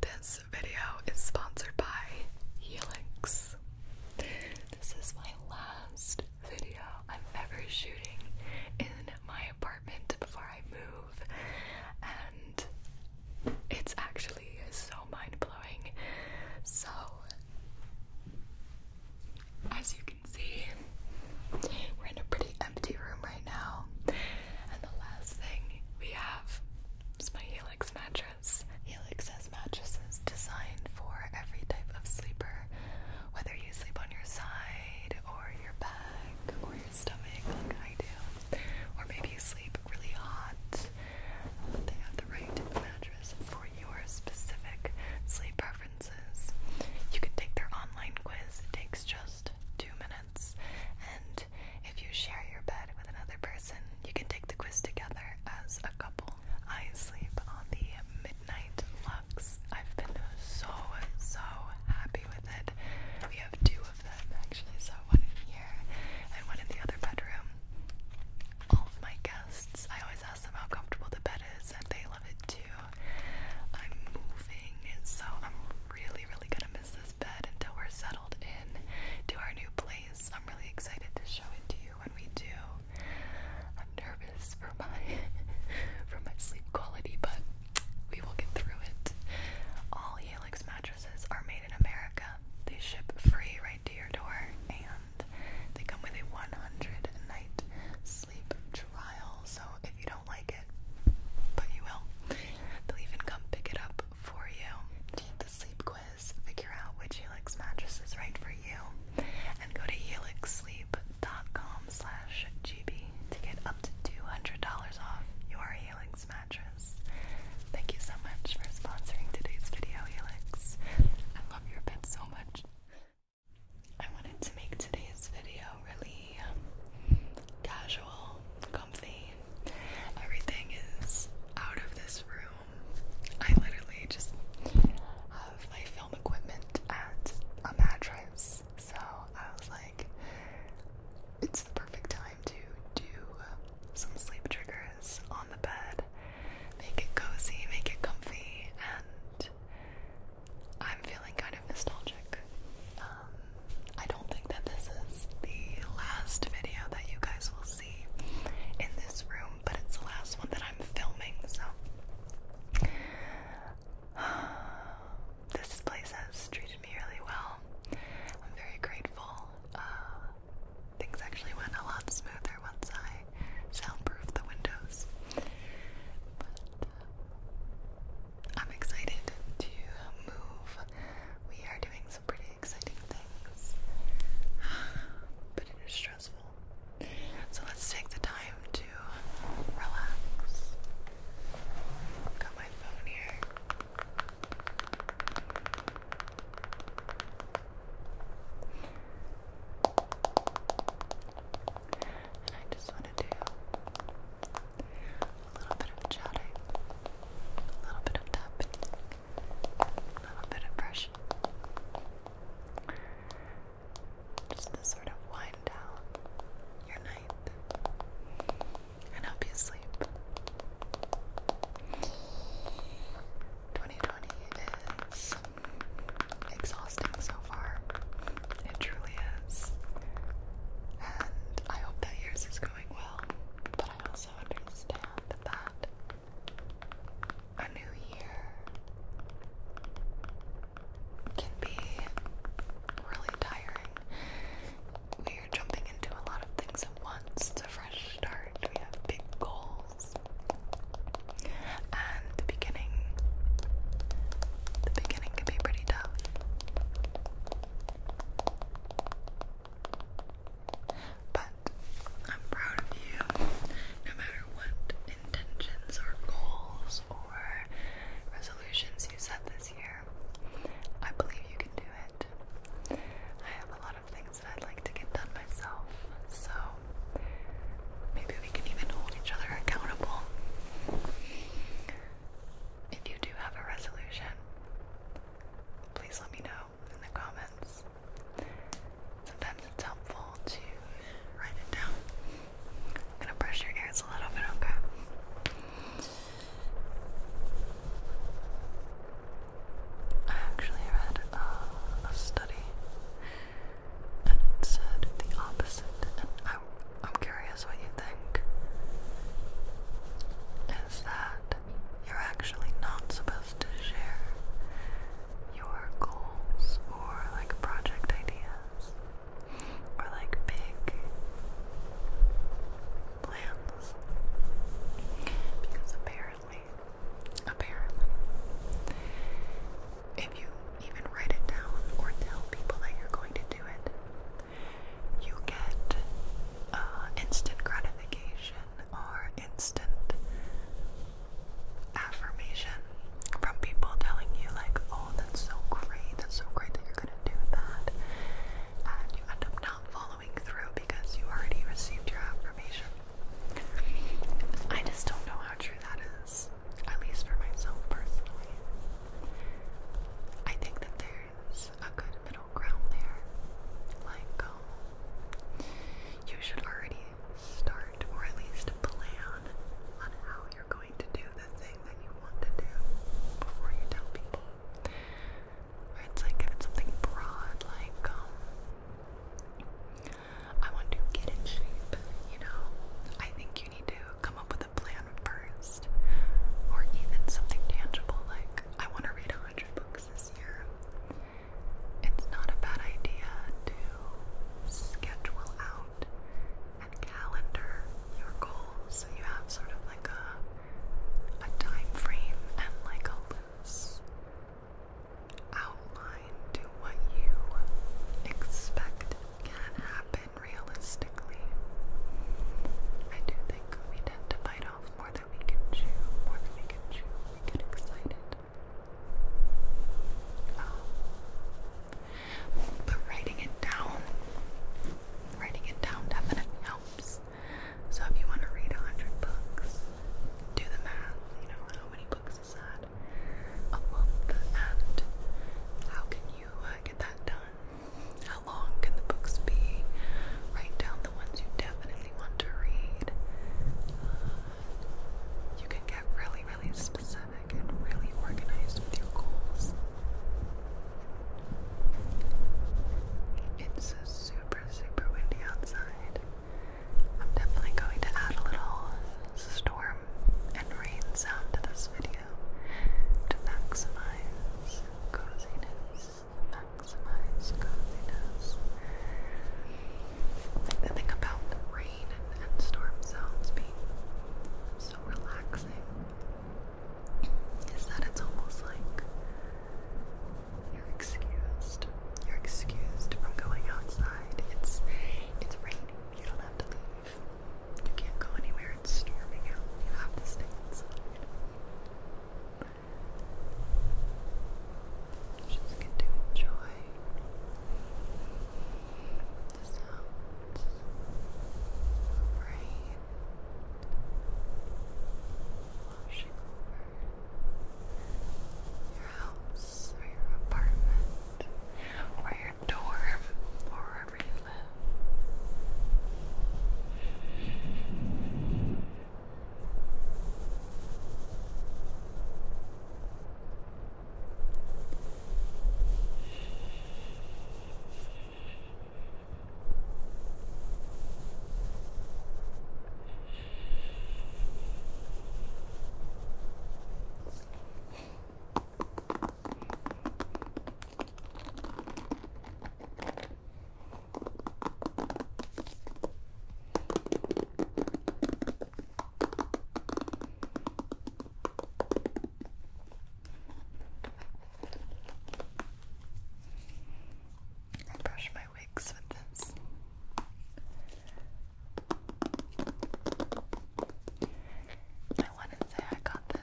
This video is sponsored by Helix. This is my last video I'm ever shooting in my apartment before I move, and it's actually so mind blowing. So, as you can see, we're in a pretty empty room right now. And the last thing we have is my Helix mattress. Helix has mattresses designed for every type of sleeper, whether you sleep on your side or your back or your stomach, like I do, or maybe you sleep really hot. Um, they have the right mattress for your specific sleep preferences. You can take their online quiz, it takes just two minutes. And if you share your bed with another person, you can take the quiz together as a couple. I sleep on the Midnight Lux. I've been so, so happy with it. We have two of them actually, so one in here and one in the other bedroom. All of my guests, I always ask them how comfortable the bed is, and they love it too. I'm moving, so I'm really, really gonna miss this bed until we're settled in to our new place. I'm really excited to show it to you when we do. I'm nervous for my for my sleep quality, but we will get through it. All Helix mattresses are made in America. They ship free right to your door, and they come with a 100 night sleep trial. So you don't like it, but you will. They'll even come pick it up for you. Do the sleep quiz, figure out which Helix mattress is right for you, and go to helixsleep.com gb to get up to $200 off your Helix mattress. Thank you so much for sponsoring today's video, Helix. I love your pet so much. I wanted to make today's video really casual, comfy. Everything is out of this room. I literally just have my film equipment at a mattress. So I was like, it's the perfect time to do some sleep triggers on the bed. Make it cozy, make it comfy, and I'm feeling kind of nostalgic. Um, I don't think that this is the last video that you guys will see in this room, but it's the last one that I'm filming, so. this place has treated me really well. I'm very grateful. Uh, things actually went a lot smoother once I soundproofed the windows. Uh, I'm excited to move. We are doing some pretty exciting things, but it is stressful. So let's take the time to relax. Got my phone here. And I just want to do a little bit of chatting, a little bit of tapping, a little bit of brushing. Just to sort of wind down your night and help you sleep. 2020 is exhausting so far. It truly is. And I hope that yours is going well, but I also understand that a new year can be really tiring. We are jumping into a lot of things at once. It's a fresh start. We have big goals. And the beginning, the beginning can be pretty tough. But I'm proud of you. No matter what intentions or goals or resolutions you set this year, I believe you can do it. I have a lot of things that I'd like to get done myself, so maybe we can even hold each other accountable. If you do have a resolution, please let me know in the comments. Sometimes it's helpful to write it down. I'm gonna brush your ears a little bit, okay? I actually read a study and it said the opposite, I'm, curious what you think. Is that you're actually not supposed to share your goals or like project ideas or like big plans because apparently, apparently, if you even write it down or tell people that you're going to do it, you get uh, instant gratification or instant affirmation from people telling you like, oh, that's so great, that's so great that you're gonna do that, and you end up not following through because you already received your affirmation. I just don't know how true that is at least for myself personally. I think that there's a good middle ground there. Like, um, you should already start or at least plan on how you're going to do the thing that you want to do before you tell people. It's like if it's something broad, like, um, I want to get in shape, you know? I think you need to come up with with plan first, or even something tangible like, I want to read 100 books this year. It's not a bad idea to schedule out and calendar your goals so you have sort of like a, a time frame and like a loose outline to what you expect can happen realistically. I do think we tend to bite off more than we can chew, more than we can chew. We get excited. Um, but writing it down, writing it down definitely helps. So if you want to read a hundred books, do the math. You know how many books is that? A month, and how can you uh, get that done? How long can the books be? Write down the ones you definitely want to read. Uh, you can get really, really specific and really organized with your goals. It's super, super windy outside. I'm definitely going to add a little storm and rain sound to this video to maximize coziness. Maximize coziness. The thing about rain and storm sounds being so relaxing is that it's almost like you're excused. You're excused from going outside. It's it's raining. You don't have to leave. You can't go anywhere, it's storming out. You have to stay Just get to enjoy the sounds of rain washing over your house or your apartment or your dorm or wherever you live. I brush my wigs with this. I want to say I got this.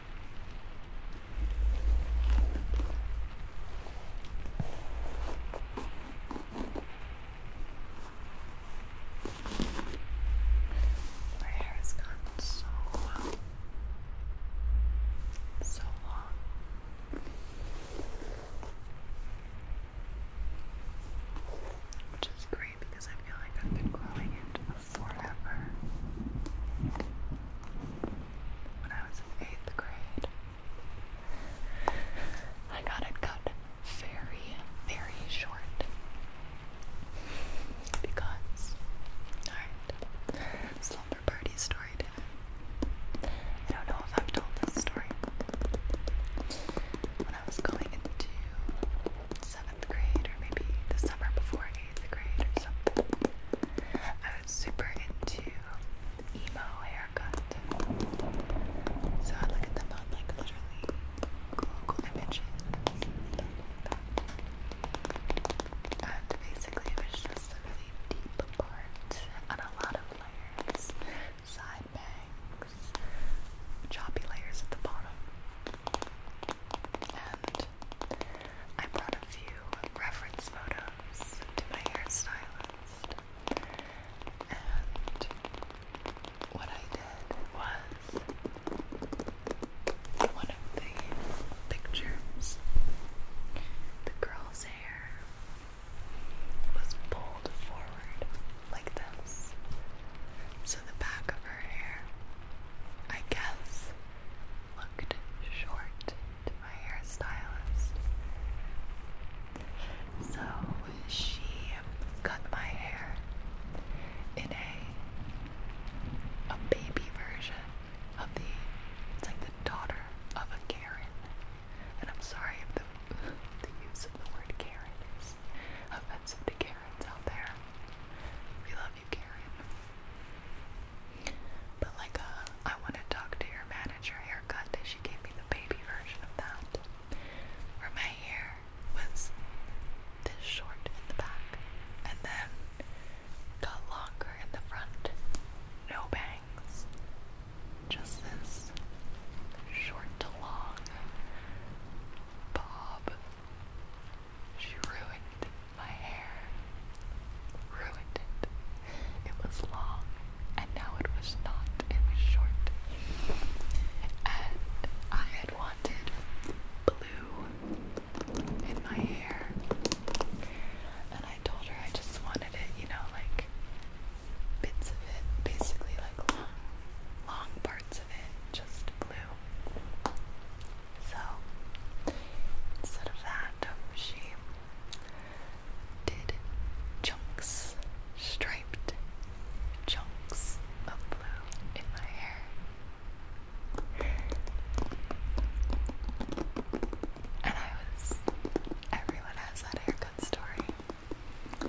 My hair has gotten so long. So long. Which is great because I feel like I've been growing it forever. When I was in eighth grade, I got it cut very, very short because, alright, slumber party story I don't know if I've told this story. When I was going into seventh grade, or maybe the summer before I was super into emo haircut. So I look them on like literally Google images And basically it was just a really deep part and a lot of layers. Side bangs, choppy layers at the bottom. And I brought a few reference photos to my hairstylist, and what I did was one of the pictures, the girl's hair was pulled forward like this. So the back of her hair, I guess, looked short to my hairstylist. So she cut my hair in a a baby version of the it's like the daughter of a Karen. And I'm sorry if the the use of the word Karen is offensive to Karens out there. We love but like, uh, I want to talk to your manager haircut that she gave me the baby version of that, where my hair was this short in the back and then got longer in the front. No bangs, just this short to long bob. She ruined my hair. Ruined it. It was long and now it was not. It was short. And I had wanted blue in my hair. And I told her I just wanted it, you know, like bits of it, basically like long, long parts of it, just blue. So instead of that, she did chunks, striped chunks of blue in my hair. And I was, everyone has that haircut story. And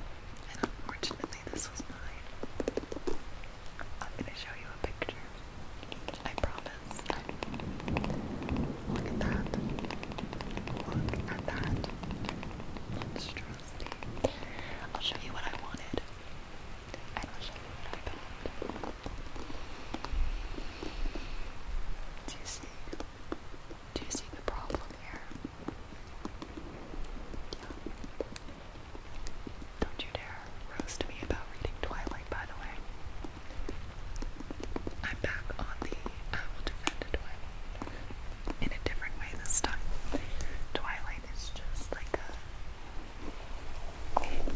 unfortunately, this was mine. I'm going to show you a picture I promise. Look at that. Look at that. Monstrosity. I'll show you what I wanted. I'll show you what I got. Do you see? Do you see the problem here? Yeah. Don't you dare roast me about reading Twilight, by the way. I'm back on the I will defend in a different way this time. Twilight is just like a.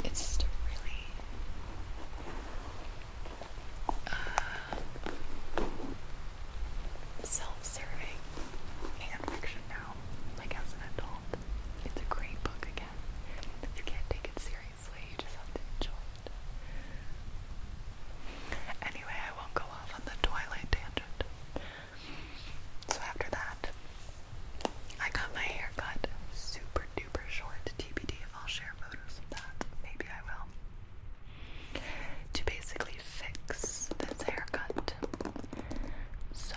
It's just a really. Uh, self-serving fan fiction now, like as an adult. It's a great book again. You can't take it seriously, you just have to enjoy it. Anyway, I won't go off on the Twilight tangent. So after that, I got my hair cut super duper short. TBD, I'll share photos of that. Maybe I will. To basically fix this haircut. So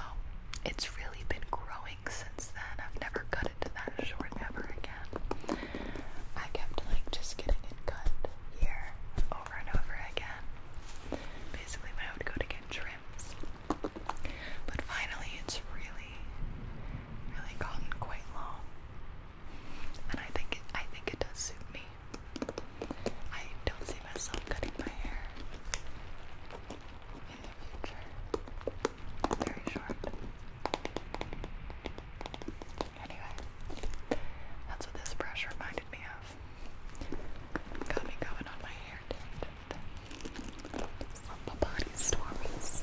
it's really been growing since then. I've never cut it to that short ever again. I kept like just getting it cut here over and over again. Basically when I would go to get trims. But finally it's really really gotten quite long. And I think it I think it does suit me. I don't see myself cutting my hair in the Very short. Anyway, that's what this brush reminded me of. Got me going on my hair tint. Slumber party stories.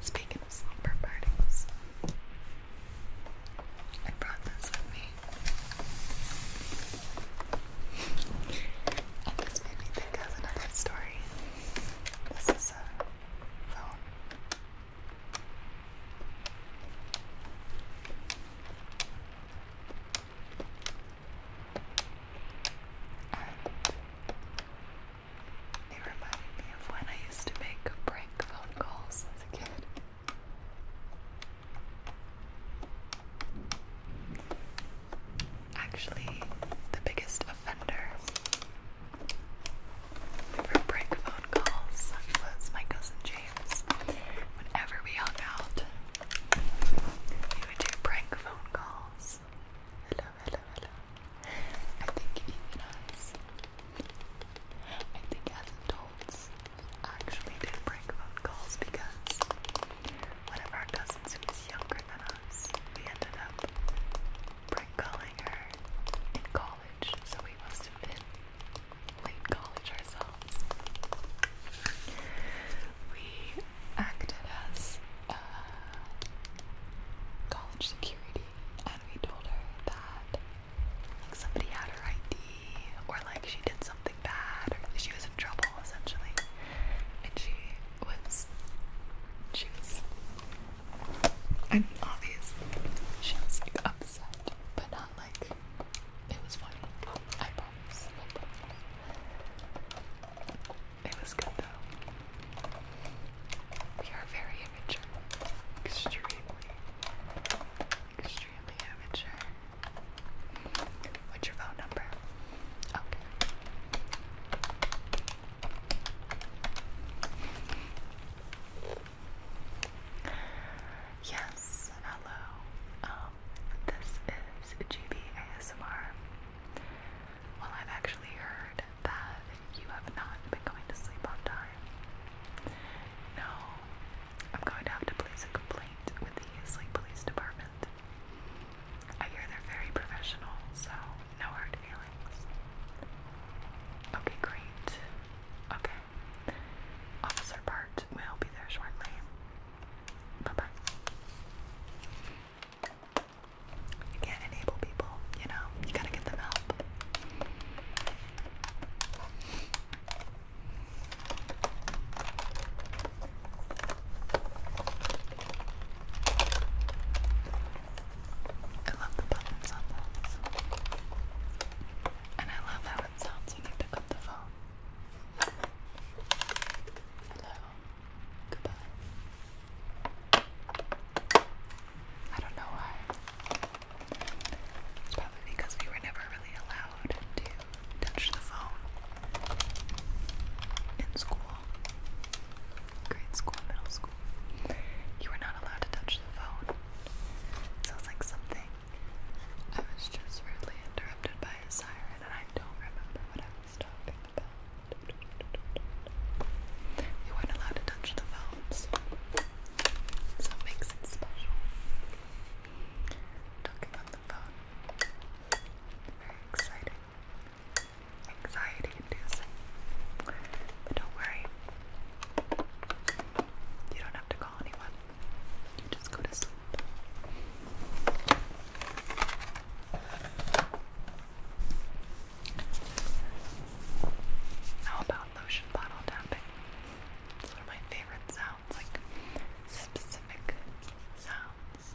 Speaking of slumber parties, I brought this with me and this made me think of another story. This is a phone. it reminded me of when I used to make prank phone calls as a kid. Actually, the biggest offender for prank phone calls was my cousin James. Whenever we hung out, he would do prank phone calls. Hello, hello, hello. I think even us. I think as adults, actually did prank phone calls because one of our cousins who was younger than us, we ended up prank calling her in college, so we must have been late college ourselves. We acted as uh, college security and we told her that like somebody had her ID or like she did something bad, she was in trouble essentially, and she was, she was, and obviously she was like upset, but not like it was funny. I promise. It was good though. We are very immature, extremely, extremely immature. What's your phone number? Okay. Yes, hello. Um, this is GB Well, I've actually heard that you have not been going to sleep on time. No, I'm going to have to place a complaint with the Police Department. I hear they're very professional, so no hard feelings. Okay, great. Okay. Officer Bart will be there shortly. Bye bye. You can't enable people, you know, you gotta get them help. I love the buttons on this. And I love how it sounds when you pick up the phone. Hello. Goodbye. I don't know why. It's probably because we were never really allowed to touch the phone in school, grade school, middle school. You were not allowed to touch the phone. Sounds like something. I was just rudely interrupted by a siren, and I don't remember what I was talking about. You weren't allowed to touch the phones, so it makes it special. Talking about the very exciting. Anxiety inducing. But don't worry. You don't have to call anyone. You just go to sleep. How about lotion bottle tapping? It's one of my favorite sounds sounds, like specific sounds.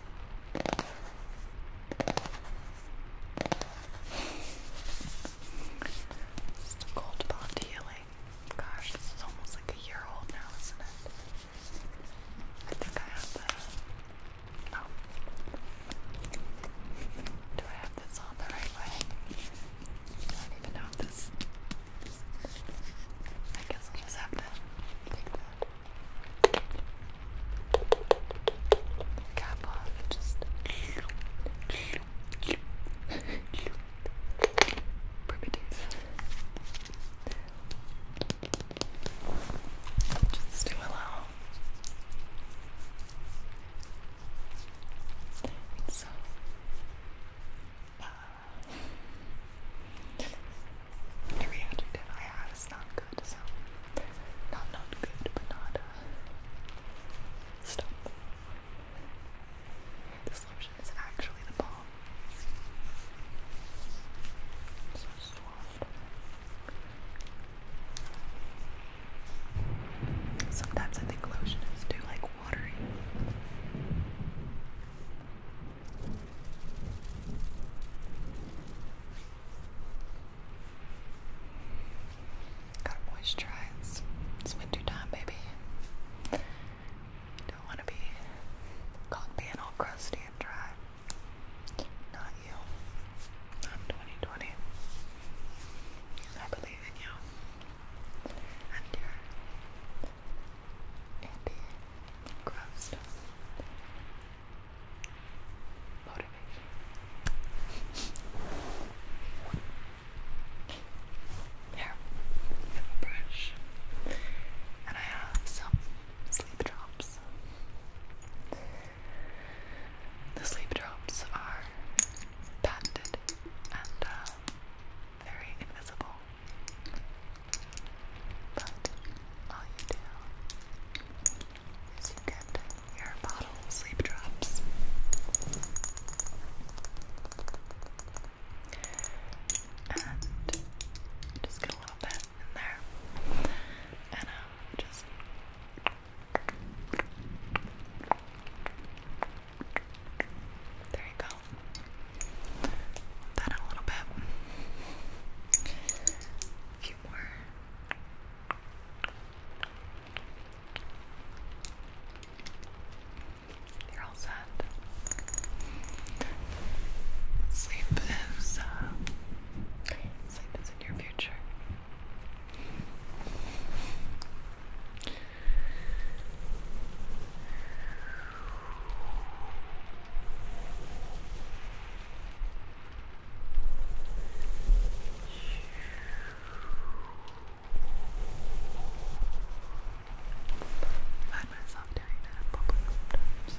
It's the Gosh, this is almost like a year old now, isn't it? I think I have Oh. Do I have this on the right way? I don't even know if this. I guess I'll just have to take that cap off, just Just do allow. So, uh, uh, every adjective I have is not good, so not not good, but not uh, stop. This lotion is actually the bomb. So soft. Sometimes I think lotion is too like watery. Gotta moisturize. It's winter time, baby. don't want to be caught being all crusty and dry. Not you. I'm 2020. I believe in you. And your anti crust motivation. and I have some sleep drops. The sleep drops are patented and uh, very invisible, but all you do so you get your bottle sleep drops. And just get a little bit in there. And um, just. There you go. That a little bit few are all set. Sleep is uh, sleep is in your future. Find myself doing that probably sometimes.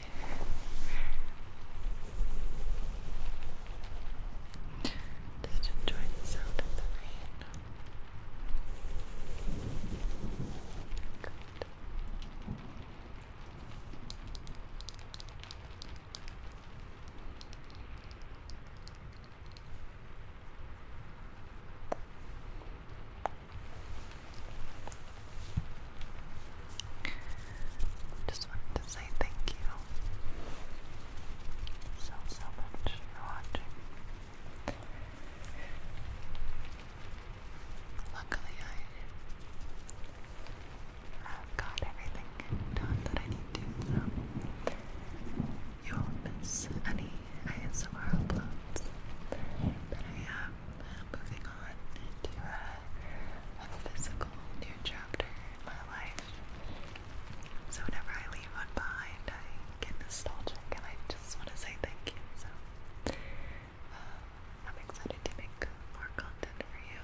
Just enjoy the sound of the rain. Good. Just wanted to say thank you so, so much for watching. Luckily, I have got everything done that I need to, so you won't miss any ASMR uploads. I am moving on to a physical new chapter in my life. So whenever I leave one behind, I get nostalgic and I just want to say thank you. So um, I'm excited to make more content for you.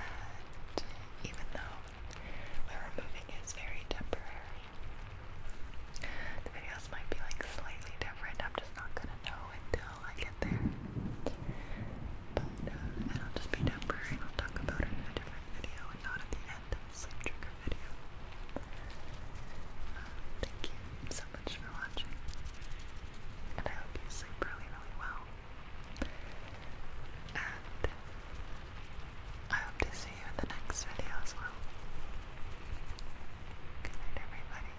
And even though we're moving is very temporary, the videos might be like slightly different. I'm just not gonna know until how I get there. But uh, will just be temporary I'll talk about it in a different video and not at the end of the sleep trigger video. Uh, thank you so much for watching. And I hope you sleep really, really well. And I hope to see you in the next video as well. Good night, everybody.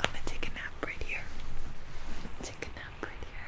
I'm gonna take a nap right here. Take a nap right here.